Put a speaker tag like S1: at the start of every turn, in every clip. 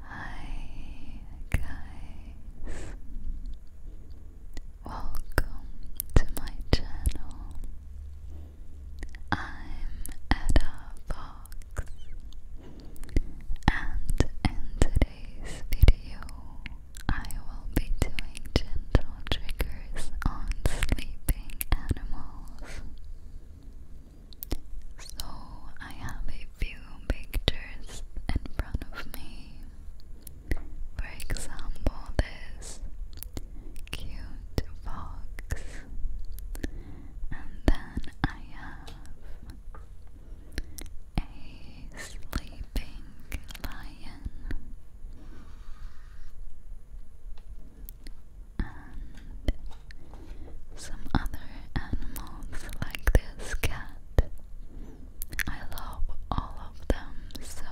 S1: Hi guys, welcome to my channel. I'm Ada Fox, and in today's video, I will be doing gentle triggers on sleeping animals. So I have a few pictures in front of me. For example, this cute fox, and then I have a sleeping lion, some other animals like this cat. I love all of them, so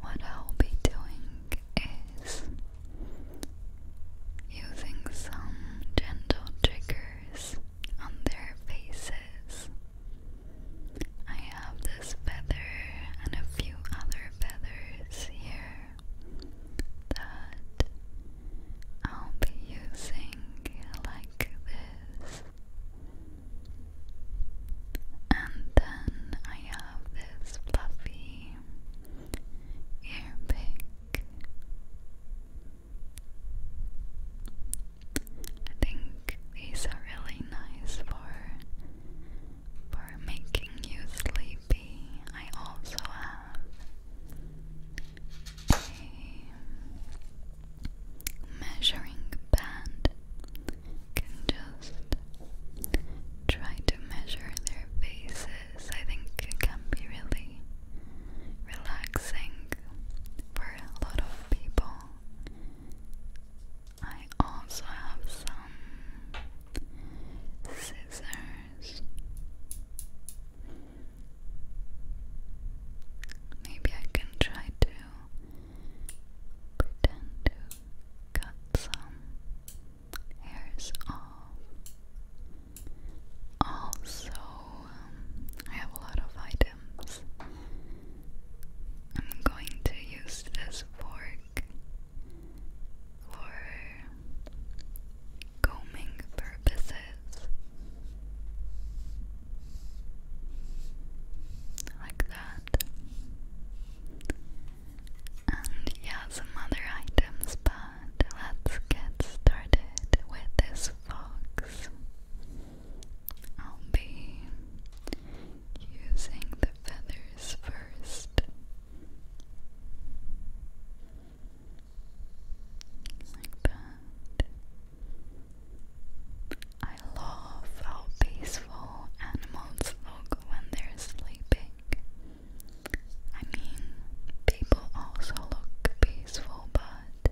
S1: what I'll be doing is using some gentle triggers on their faces. I have this feather and a few other feathers here that I'll be using like this. And then I have this fluffy ear I think these are really nice for for making you sleepy. I also have a measuring band. can just try to measure their faces. I think it can be really relaxing for a lot of people. I also have some scissors Maybe I can try to cut some hairs off. Also, um, I have a lot of items. I'm going to use this fork for combing purposes. Like that. And yeah, some other items, but let's get started with this fox. I'll be using the feathers first. I love how peaceful animals look when they're sleeping. I mean, people also look peaceful, but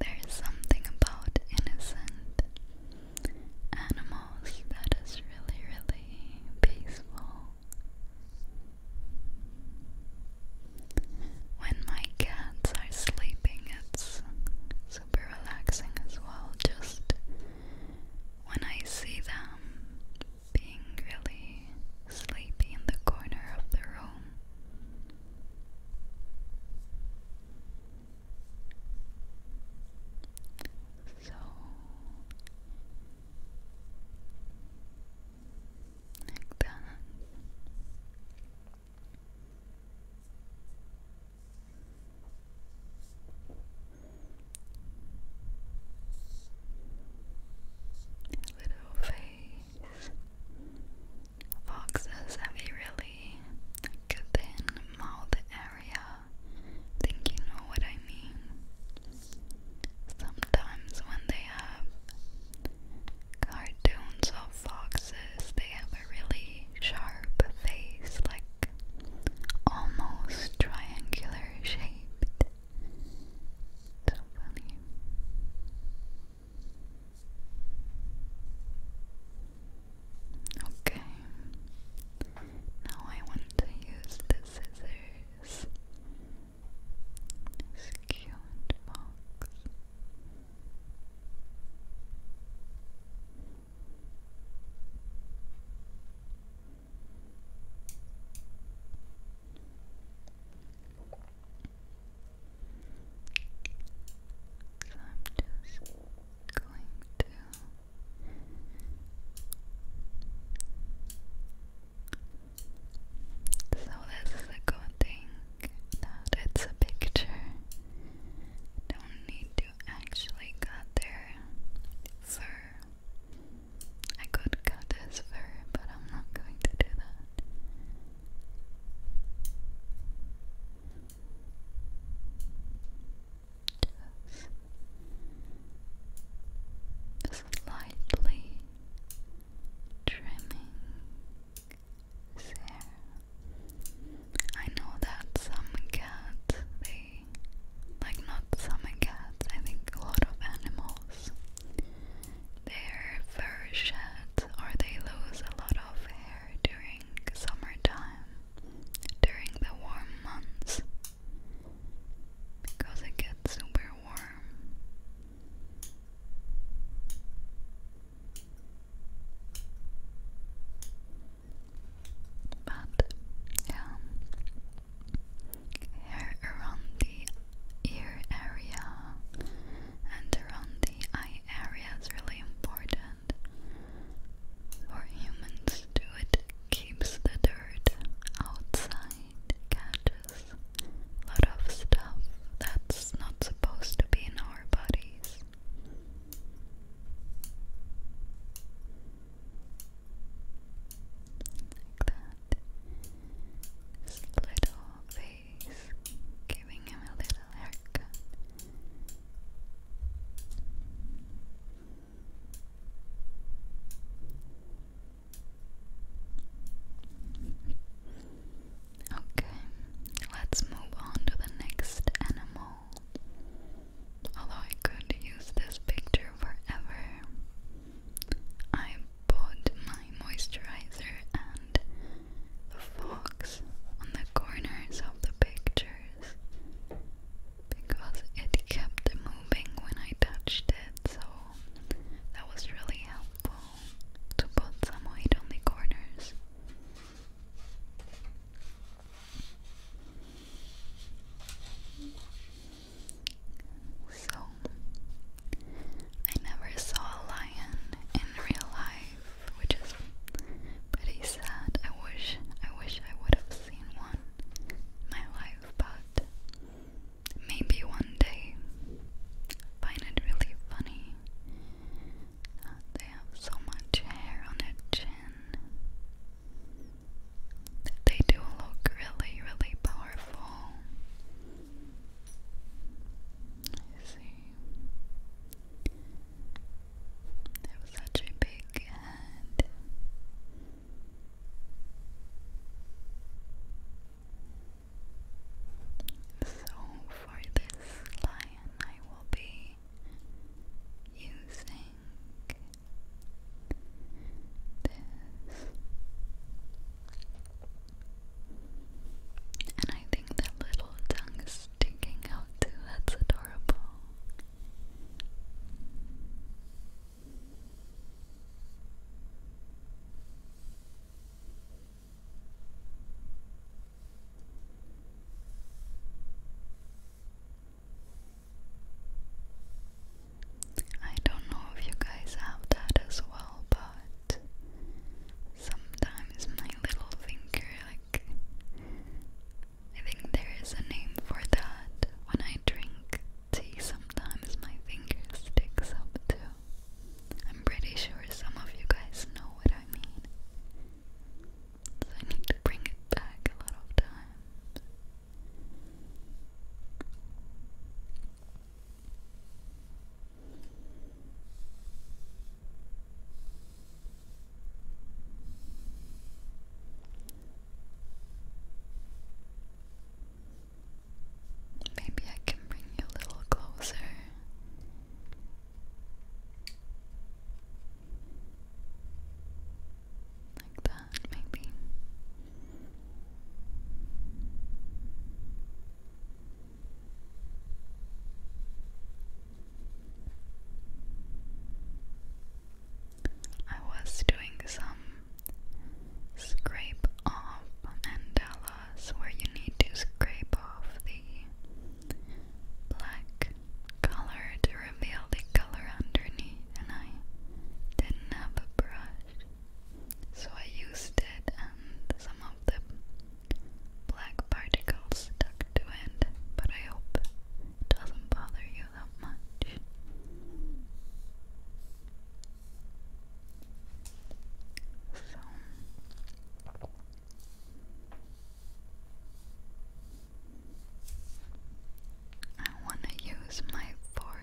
S1: there is something about innocent animals that is really, really peaceful. When my cats are sleeping, it's super relaxing as well. Just when I see them being really sleepy in the corner of the room. So like that. Little face. Foxes have a really thin mouth area. think you know what I mean. Sometimes when they have cartoons of foxes, they have a really sharp face, like almost triangular shaped. So funny. Okay, now I want to use the scissors this this cute box so I'm just going to so this is a good thing that it's a picture. Don't need to actually cut their fur. I could cut his fur, but I'm not going to do that slightly trimming I know that some cats, they like not some cats, I think a lot of animals, their fur sheds or they lose a lot of hair during summertime, during the warm months because it gets super are warm. But yeah, here around the ear area and around the eye area is really important for humans to it keeps the dirt outside catches a lot of stuff that's not supposed to be in our bodies. Like that. This little face giving him a little haircut. Okay, let's move on to the next animal. Although I could use this picture forever, I put my moisturizer and the fox on the corners of the pictures because it kept moving when I touched it, so that was really helpful to put some weight on the corners. So, I never saw a lion in real life, which is pretty sad. I wish, I wish I would have seen one my life, but maybe one day find it really funny they have so much hair on their chin they do look really, really powerful. You see, they have such a big head. So for this lion I will be using this and I think that little tongue is sticking out too, that's adorable I don't know if you guys have that as well, but sometimes my little finger, like, I think there is a name for that when I drink sometimes my finger sticks up to. I'm pretty sure some of you guys know what I mean. So I need to bring it back a lot of times. Maybe I can bring you a little closer. Like that, maybe. I was doing some Scrape off mandalas where you need to scrape off the black color to reveal the color underneath. And I didn't have a brush, so I used it and some of the black particles stuck to it, but I hope it doesn't bother you that much. So I want to use my fork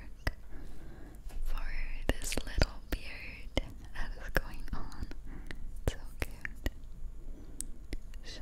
S1: for this little beard that is going on. so cute. So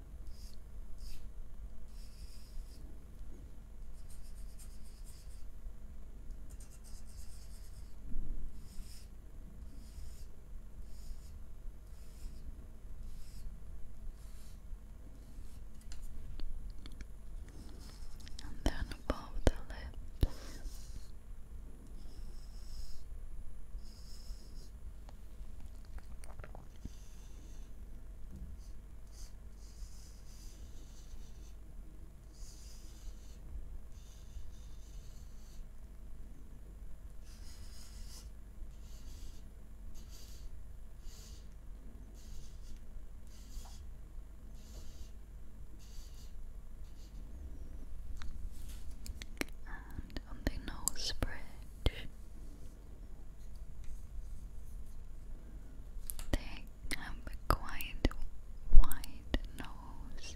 S1: and then above the lips. And on the nose bridge, they have a quite wide nose.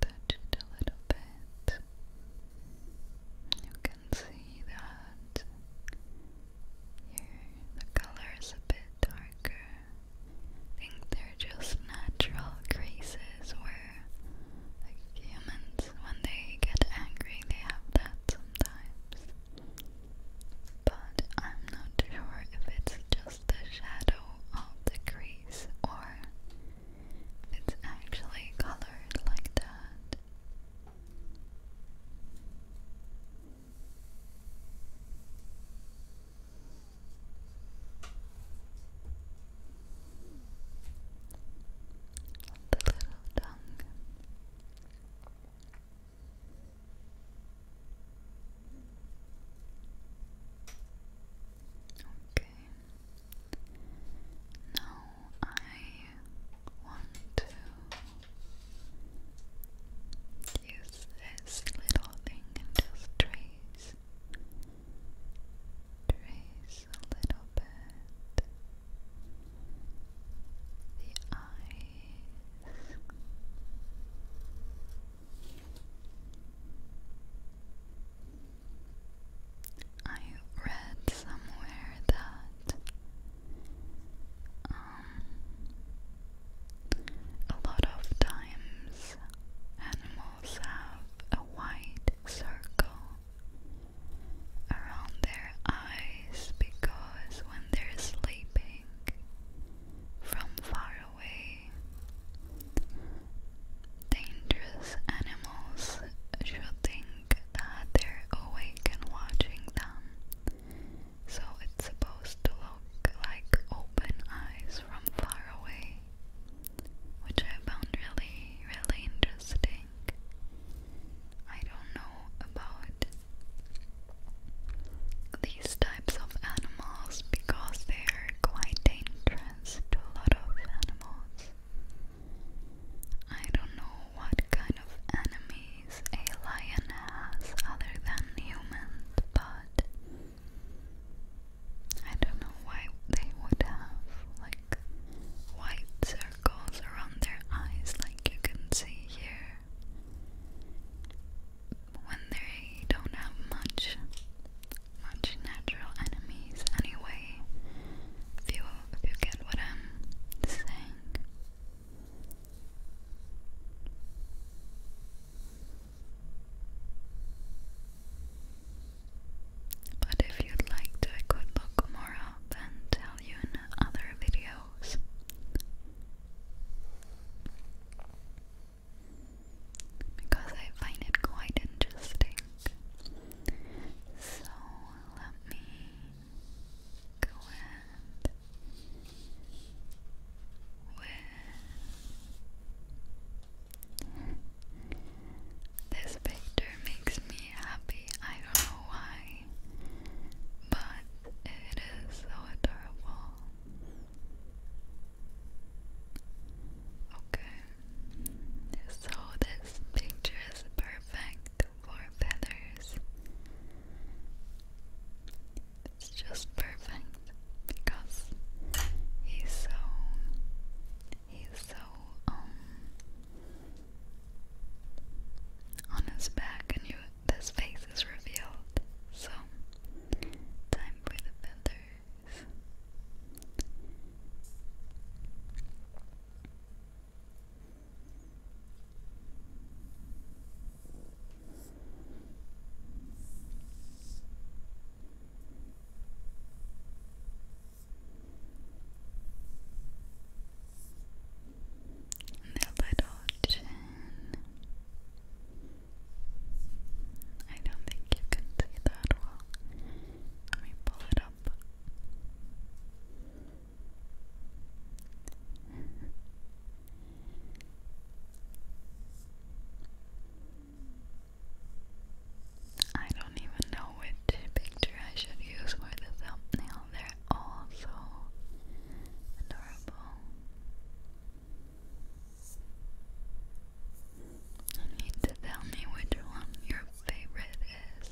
S1: Touch it a little bit. You can see that here the color is a bit darker. I think they're just natural creases where, humans, when they get angry, they have that sometimes. But I'm not sure if it's just the shadow of the crease or it's actually colored like that. The little tongue. Okay. Now I want to use this little thing and trace, trace a little bit the eyes. I read somewhere that um, a lot of times animals have a white circle around their eyes because when they're sleeping from far away dangerous animals should think that they're awake and watching them. So it's supposed to look like open eyes from far away, which I found really, really interesting. I don't know about these types of animals because they are quite dangerous to a lot of animals. I don't know what kind of enemies a lion has other than humans, but I don't know why they would have like white circles around their eyes, like you can see here when they don't have much much natural enemies anyway. If you if you get what I'm saying. But if you'd like to, I could look more up and tell you in other videos because I find it quite interesting. So let me go ahead this picture makes me happy. I don't know why, but it is so adorable. Okay, so this picture is perfect for feathers. It's just perfect because he's so he's so um on his back and you his face is revealed. So time for the feathers. And little chin. I don't think you can see that well. Let me pull it up. I don't even know which picture I should use for the thumbnail. They're all so adorable. You need to tell me which one your favorite is.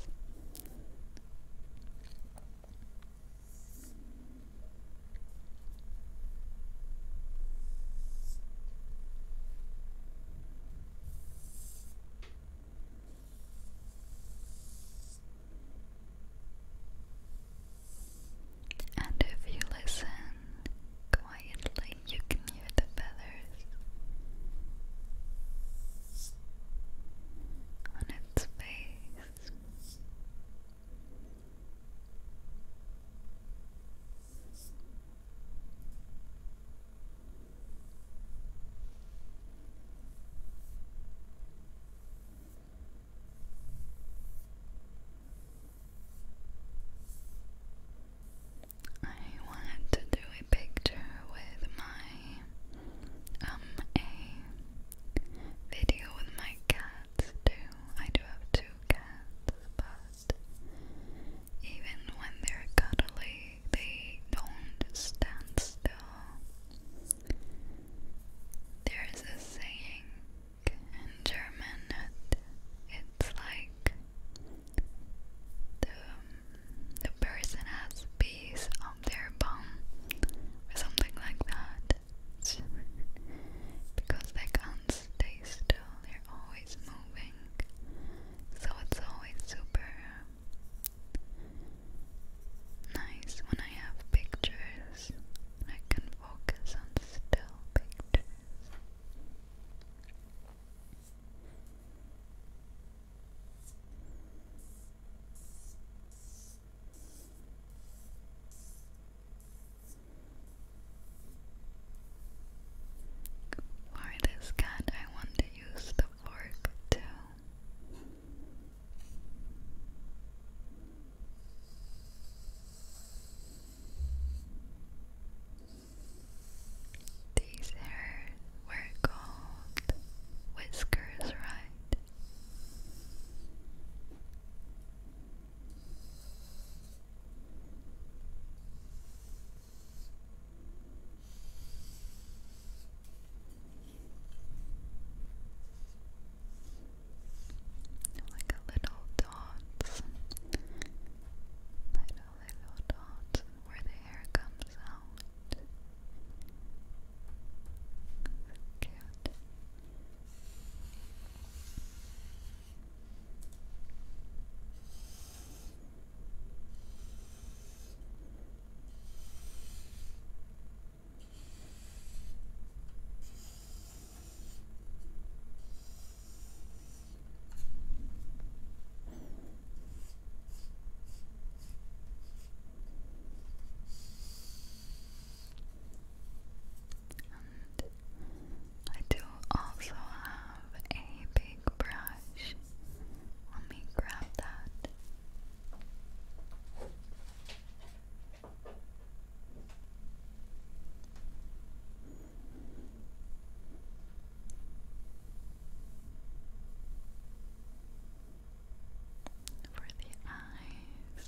S1: And if you listen quietly, you can hear the feathers on its face. I wanted to do a picture with my um a video with my cats too. I do have two cats, but even when they're cuddly, they don't stand still. There's a saying in German it's like the, the person has bees on their bum or something like that because they can't stay still, they're always moving so it's always super nice when I have pictures I can focus on still pictures for this cat, I want to use the fork too. These hair were called whiskers, right? Like a little dots, little little dots where the hair comes out. Okay. And I do also have a big brush. Let me grab that for the eyes.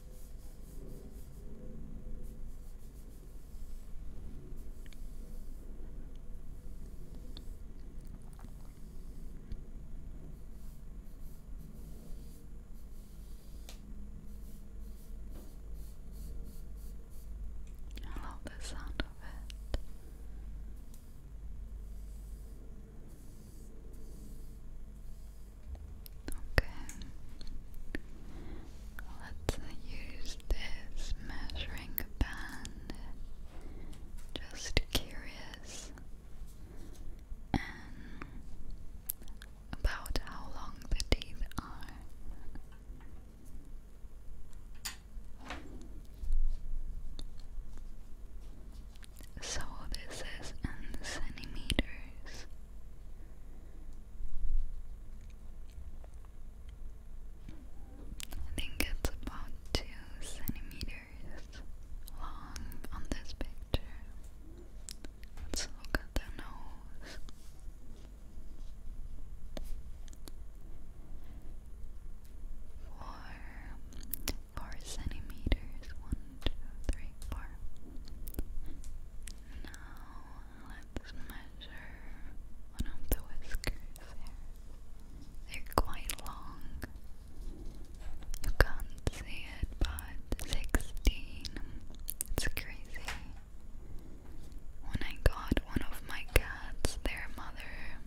S1: I love the sound of it. Okay. Let's use this measuring band. Just curious. about how long the teeth are. So this is in centimeters. I think it's about two centimeters long on this picture. Let's look at the nose. Four, four centimeters. One, two, three, four. Now let's measure one of the whiskers They're quite long. You can't see it, but 16. It's crazy. When I got one of my cats, their mother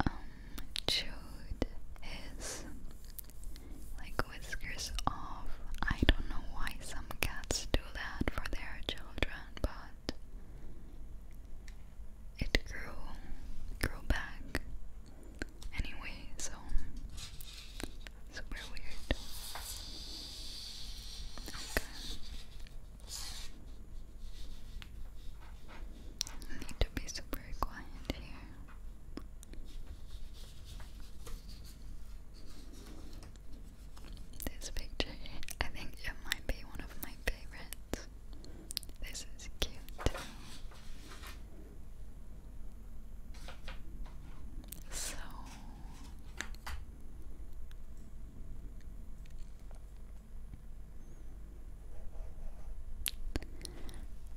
S1: um, chewed his like whiskers off. I don't know why some cats do that for their children, but it grew, grew back anyway, so super weird. Okay. need to be super quiet here. This picture, I think it might be one of my favorites. This is cute So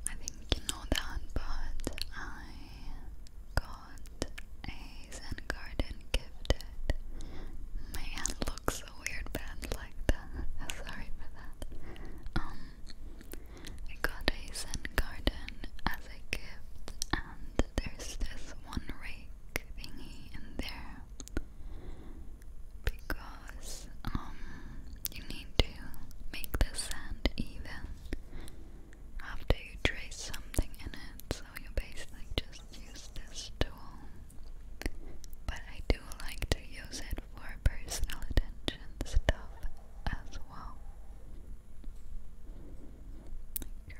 S1: I think you know that, but I got a Zen garden gifted. My hand looks weird bad like that. Sorry for that. Um got a Zen garden as a gift and there's this one rake thingy in there because um you need to make the sand even after you trace something in it. So you basically just use this tool. But I do like to use it for personal attention stuff as well.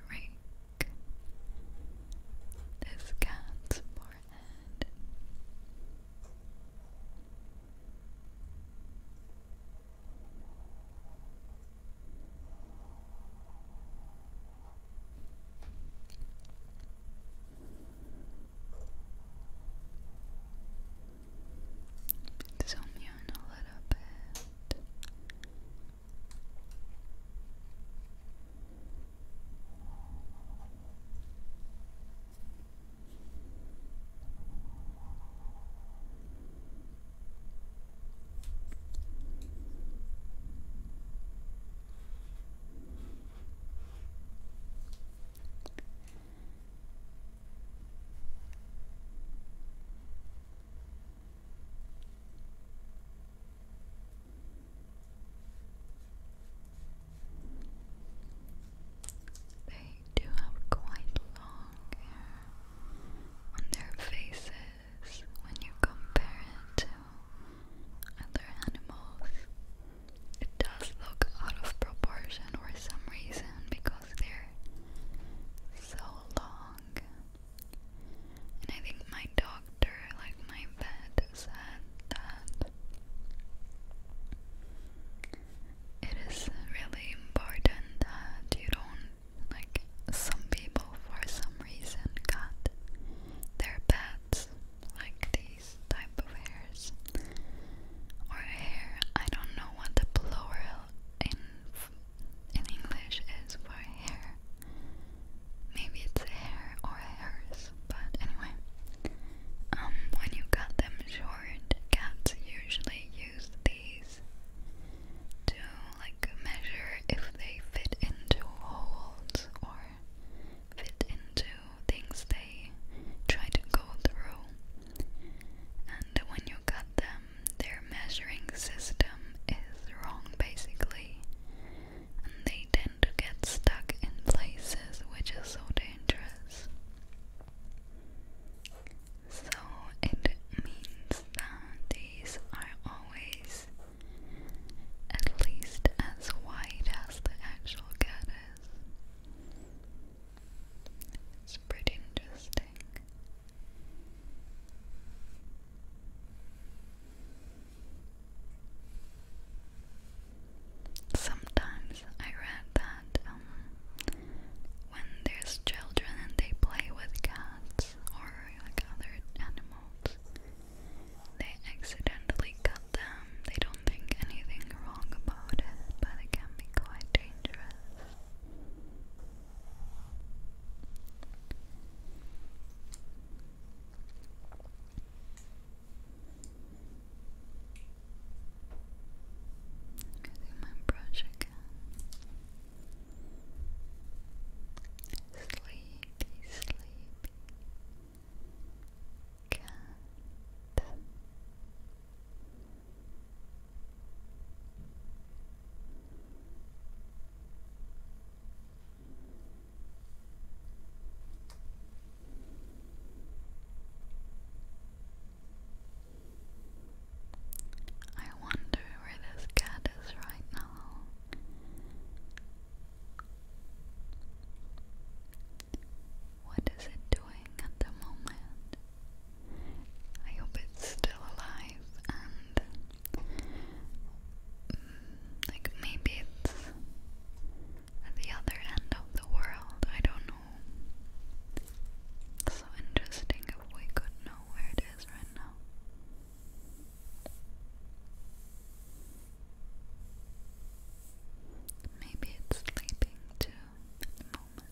S1: Rake this cat's forehead. Zoom you in a little bit. There you do have quite long on their faces when you compare it to other animals. It does look out of proportion or some reason because they're so long. And I think my doctor, like my vet, said that it is really important that you don't like some people for some reason cut their pets like these type of hairs or hair. I don't know what the plural in in English is for hair. Maybe it's hair or hairs, but anyway. Um, when you cut them short, cats usually use these to like measure if they fit into holes or fit into things they try to go through. And when you cut them, their measuring system is wrong basically. And they tend to get stuck in places, which is so dangerous. So it means that these are always at least as wide as the actual cat is. It's pretty interesting. Sometimes I read that um, when there's children and they play with cats or like other animals, they accidentally cut them. They don't think anything wrong about it, but it can be quite dangerous. Using my brush again sleepy, sleepy cat. I wonder where this cat is right now. What is it doing at the moment? I hope it's still alive and mm, like maybe it's at the other end of the world. I don't know. so interesting if we could know know where it is right now. Maybe it's sleeping too at the moment.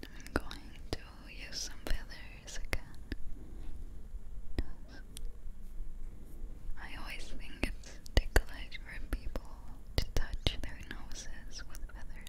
S1: I'm going to use some feathers again. I always think it's ticklish for people to touch their noses with feathers.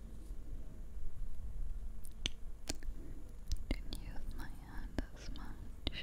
S1: Didn't use my hand as much.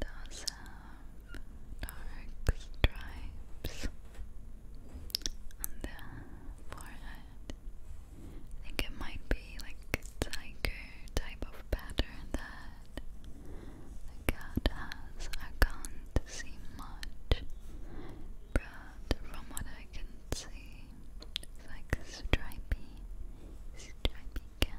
S1: does have dark stripes on the forehead. I think it might be like tiger type of pattern that the cat has, I can't see much, but from what I can see, it's like a stripy, stripy cat.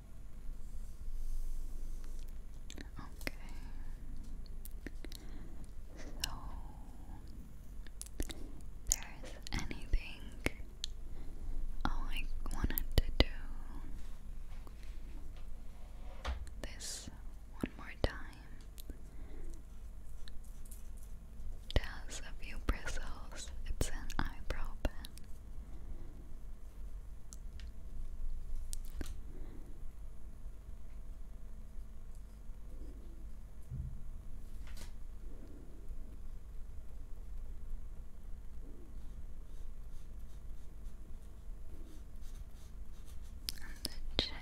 S1: Okay. So there's anything um, I wanted to do um, this one more time. It a few bristles. It's an eyebrow pen. And the chin.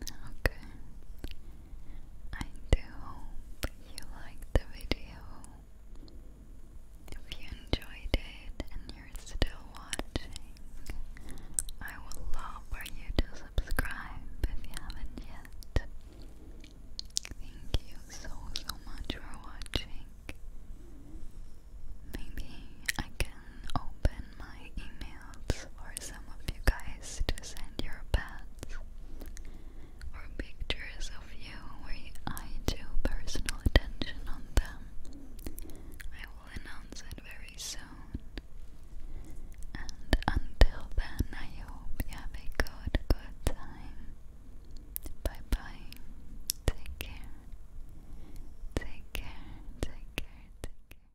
S1: Okay. I do hope you liked the video. If you enjoyed it and you're still watching, I would love for you to subscribe if you haven't yet. Thank you so so much for watching. Maybe I can open my emails for some of you guys to send your pets or pictures of you where I do personal attention on them. I will announce it very soon. And until then, I hope you have a good, good time. Bye bye. Take care. Take care. Take care. Take care.